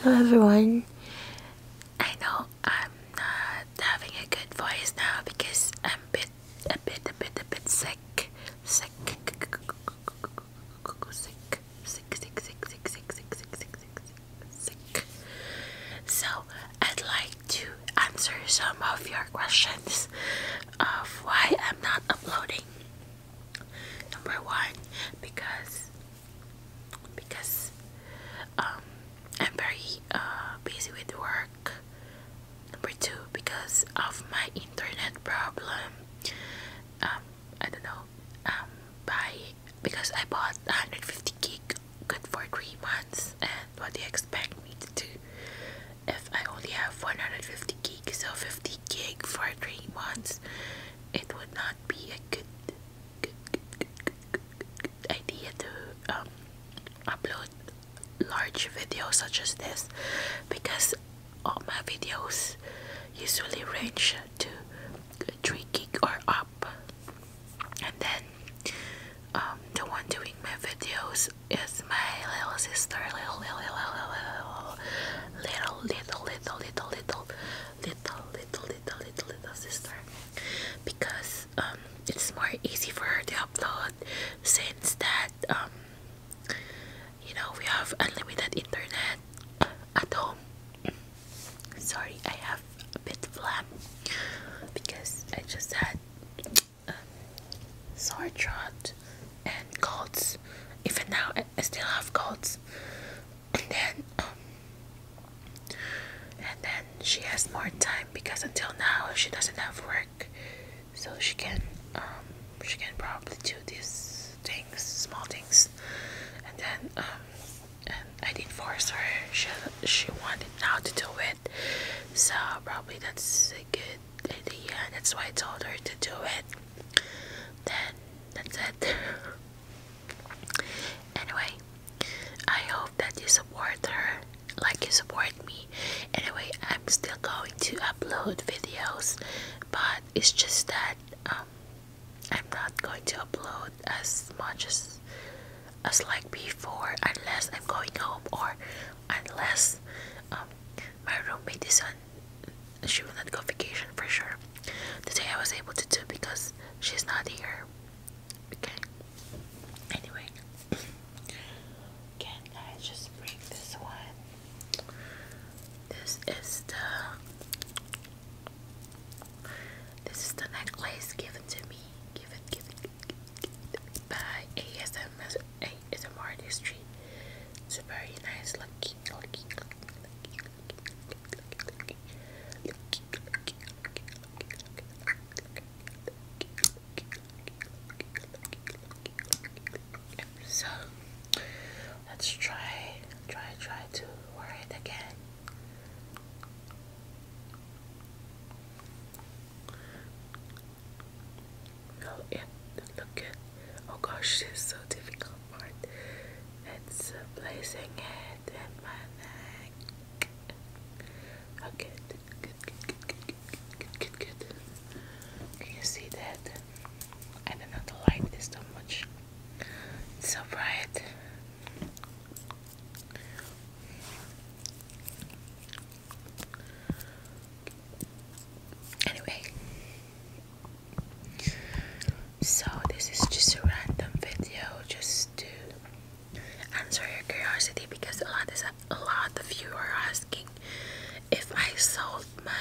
Hello everyone. I know I'm not having a good voice now because I'm a bit a bit a bit a bit sick. Sick sick sick sick sick sick sick sick sick sick sick sick. So I'd like to answer some of your questions of why I'm not uploading Number one, because because um, I'm very uh, busy with work. Number two, because of my internet problem. Um, I don't know. Um, by because I bought 150 gig, good for three months. And what do you expect me to do if I only have 150 gig? So 50 gig for three months it would not be a good, good, good, good, good, good idea to um, upload large videos such as this because all my videos usually range to 3 gig or up and then um, the one doing my videos is my little sister little little little little little little little little little little little, little, little, little, little sister because um, it's more easy for her to upload since that um, you know we have unlimited internet uh, at home. Sorry, I have a bit phlegm because I just had um, sore throat and colds. Even now, I, I still have colds and then um, and then she has more time because until now she doesn't have work so she can um, she can probably do these things small things and then um, and I didn't force her she she wanted now to do it so probably that's a good idea and that's why I told her to do it then that's it Anyway, I hope that you support her like you support me. Anyway, I'm still going to upload videos, but it's just that um, I'm not going to upload as much as as like before unless I'm going home or unless um, my roommate is on she will not go vacation for sure. The day I was able to do because she's not here. Okay. Anyway, can I just bring this one? This is the this is the necklace given to me. Given given, given by ASMR ASMR industry. It's a very nice looking looking. looking so let's try, try, try to wear it again. Will it look good? Oh gosh, it's so difficult part. It's placing it in my neck. good, good, good, good, good, good, good, good, Can you see that? I do not like this so much. so bright. Anyway, so, this is just a random video just to answer your curiosity because a lot, is, a lot of you are asking if I sold my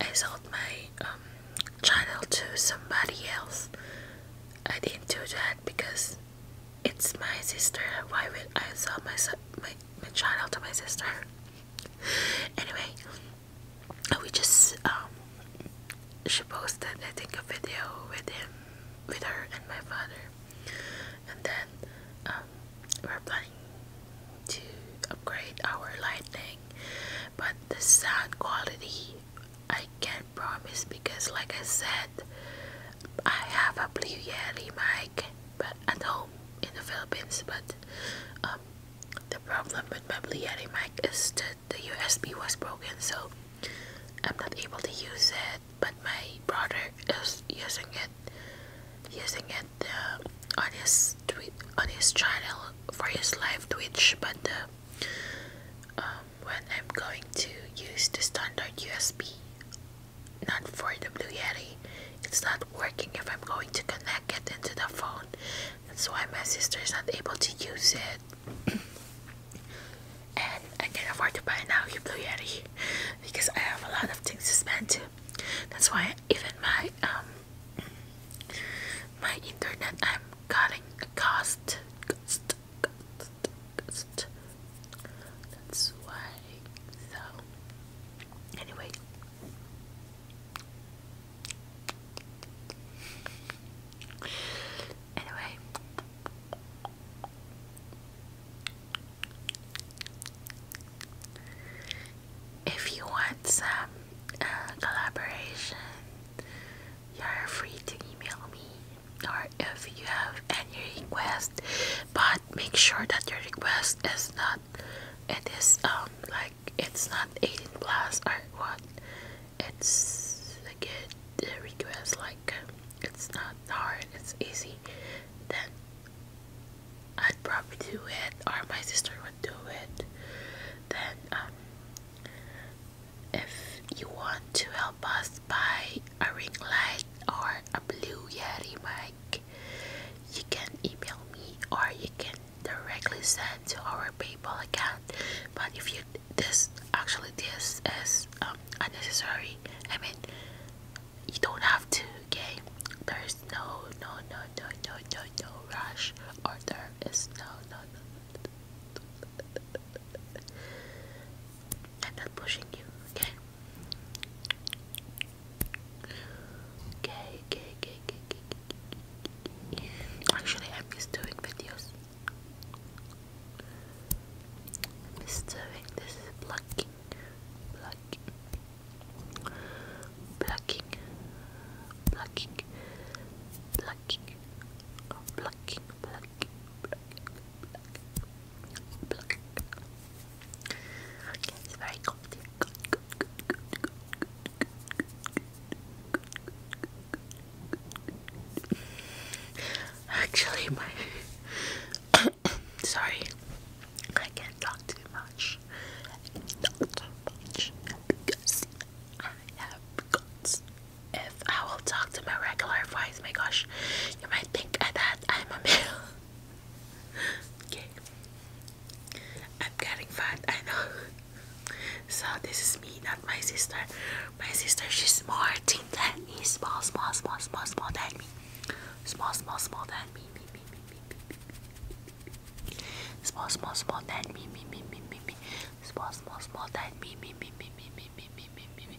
I sold my um, channel to somebody else. I didn't do that because it's my sister. Why would I sell my, my, my channel to my sister? anyway we just um she posted I think a video with him with her and my father and then um, we're planning to upgrade our lighting but the sound quality I can't promise because like I said I have a blue yeti mic but at home in the Philippines but um, the problem with my Blue Yeti mic is that the USB was broken, so I'm not able to use it. But my brother is using it, using it uh, on his tweet, on his channel for his live Twitch. But uh, um, when I'm going to use the standard USB, not for the Blue Yeti, it's not working if I'm going to connect it into the phone. That's why my sister is not able to use it. and I can afford to buy now blue Yeti because I have a lot of things to spend. Too. That's why even my um my internet I'm cutting a cost. cost. That's why so anyway Anyway. If you want some uh, collaboration, you're free to email me. Or if you have any request, but make sure that your request is not, it is um like it's not 18 plus or what it's a good request like it's not hard it's easy then I'd probably do it or my sister would do it then um, if you want to help us buy a ring light or a blue yeti mic you can email me or you can directly sent to our PayPal account. But if you this actually this is um, unnecessary. I mean, you don't have to. Okay, there's no no no no no no no rush, or there is no no no. no. I'm not pushing you. okay, okay, okay, okay, Actually, I just doing videos. I doing this plucking, plucking, plucking, plucking, plucking, oh, plucking, plucking, plucking, Okay, it's very good, Actually, my sorry, I can't talk too much. too much because I have guts. If I will talk to my regular voice, my gosh, you might think that I'm a male. okay, I'm getting fat, I know. so this is me, not my sister. My sister, she's more thin than me. Small, small, small, small, small than me. Small, small, small than me. me, me, me, me, me, me. Small, small, small than me, me, me, me, me, me. Small, small, small than me, me, me, me, me, me, me, me, me, me.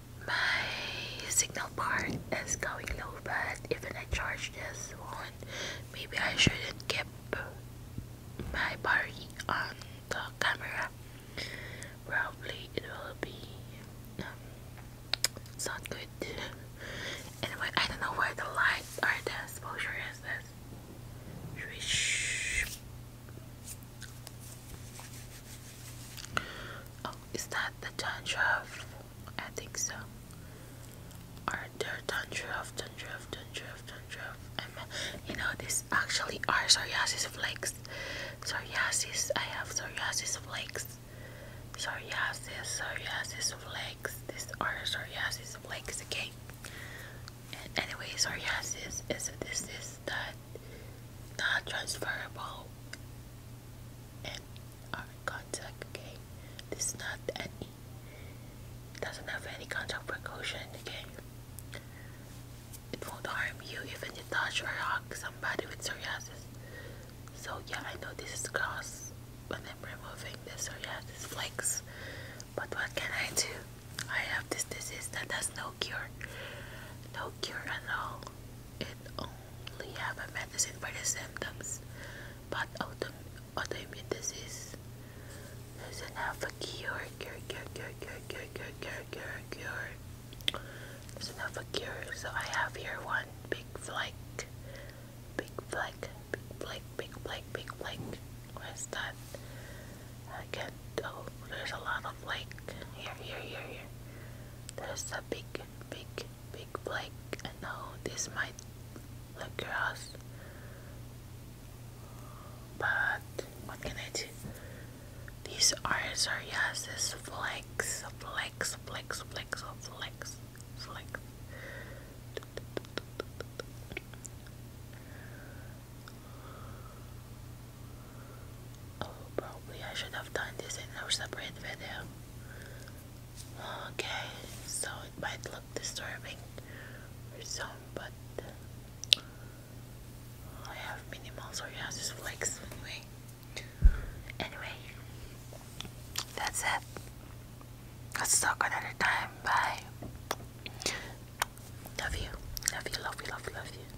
my signal bar is going low but even I charge this one maybe I shouldn't keep my bar on the camera probably it will be um, it's not good anyway I don't know where the light or the exposure is this Oh, is that the tantra of? I think so. Are there tantra of tantra of tantra of tantra of? I'm, you know, this actually are psoriasis flakes. Psoriasis. I have psoriasis flakes. Psoriasis. Psoriasis flakes. These are psoriasis flakes. Okay. And anyway, psoriasis is a disease that not transferable and are contact okay this not any doesn't have any contact precaution okay it won't harm you even if you touch or hug somebody with psoriasis so yeah I know this is gross but I'm removing the psoriasis flakes but what can I do I have this disease that has no cure no cure at all it only have a medicine for the symptoms, but auto autoimmune disease doesn't have a cure, cure, cure, cure, cure, cure, cure, cure, cure, cure. Doesn't have a cure. So I have here one big flake, big flake, big flake, big flake, big flake. Where's that? I can't. Oh, there's a lot of like here, here, here, here. There's a big, big, big flake. No, this might look gross, but what can I do? These are psoriasis flex, flex, flex, flex, flex, flex. Oh, probably I should have done this in a separate video. Okay, so it might look disturbing for some, but I have minimal psoriasis flakes anyway. Anyway, that's it. Let's talk another time. Bye. Love you. Love you, love you, love you, love you.